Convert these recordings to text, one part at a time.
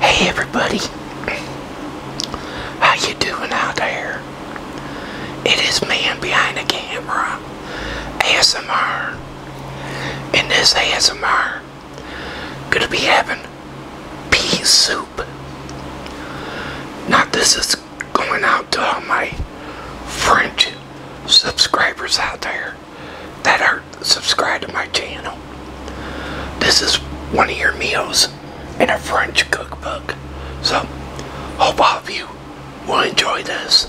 Hey everybody, how you doing out there? It is man behind the camera, ASMR, In this ASMR gonna be having pea soup. Now this is going out to all my French subscribers out there that are subscribed to my channel. This is one of your meals in a French cookbook. So, hope all of you will enjoy this.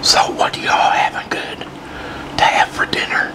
So what do y'all having good to have for dinner?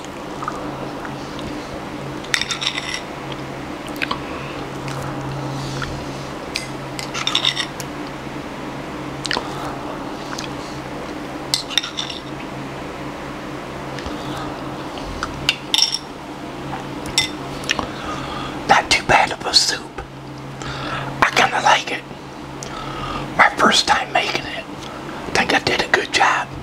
Not too bad of a soup. I kind of like it. My first time making it. I think I did a good job.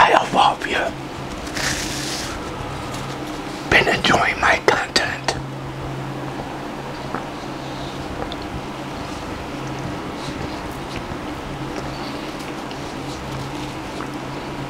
I hope all of you been enjoying my content.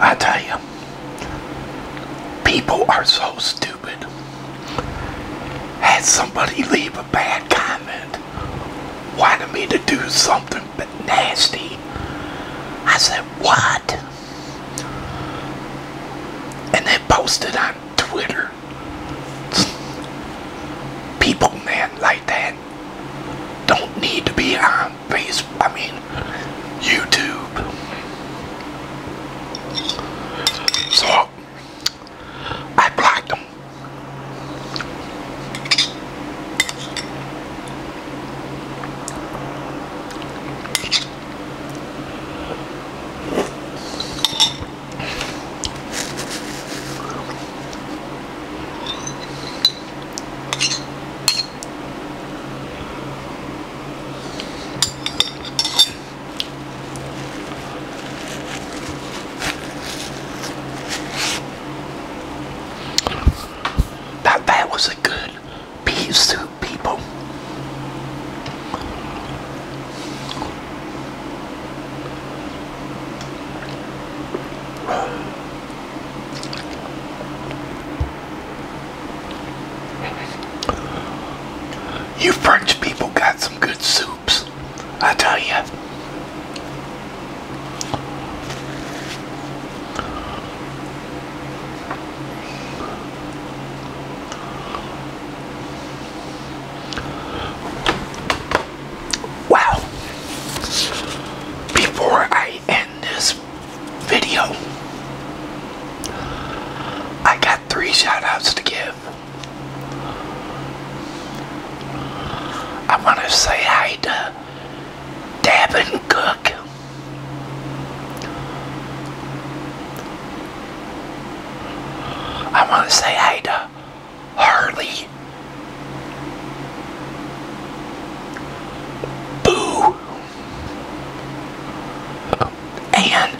I tell you, people are so stupid. Had somebody leave a bad comment, wanted me to do something but nasty. I said, what? and they posted on Twitter. People, man, like that don't need to be on Facebook. I mean, YouTube. So I blocked them. That that was a good pea soup, people. You French people got some good soups, I tell you. Wow. Before I end this video, I got three shoutouts to give. I want to say hi to Davin Cook. I want to say hi to Harley. Boo. And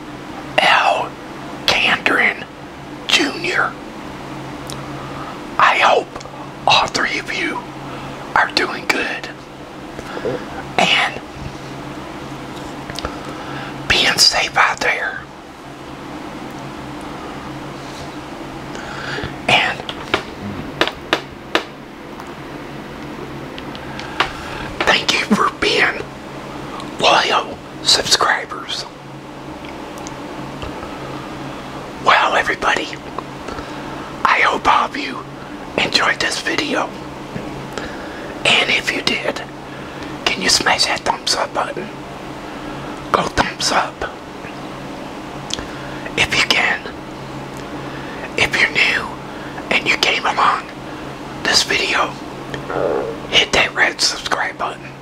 L. Candrin Jr. I hope all three of you are doing good. And being safe out there. And thank you for being loyal subscribers. Well, everybody, I hope all of you enjoyed this video. And if you did, can you smash that thumbs up button? Go thumbs up. If you can. If you're new and you came along this video, hit that red subscribe button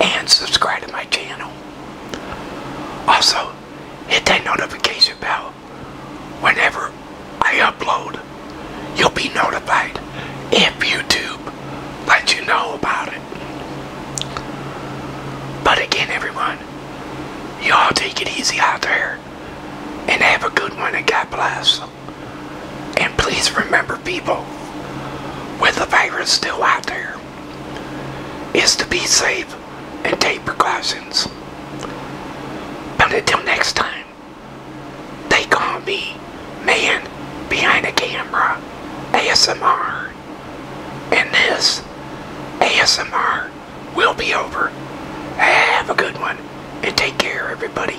and subscribe to my channel. Also, hit that notification bell. Whenever I upload, you'll be notified if YouTube lets you know about it. But again, everyone, y'all take it easy out there and have a good one and God bless. And please remember, people, with the virus still out there, is to be safe and take precautions. But until next time, they call me Man Behind the Camera ASMR. And this ASMR will be over. Have a good one and take care, everybody.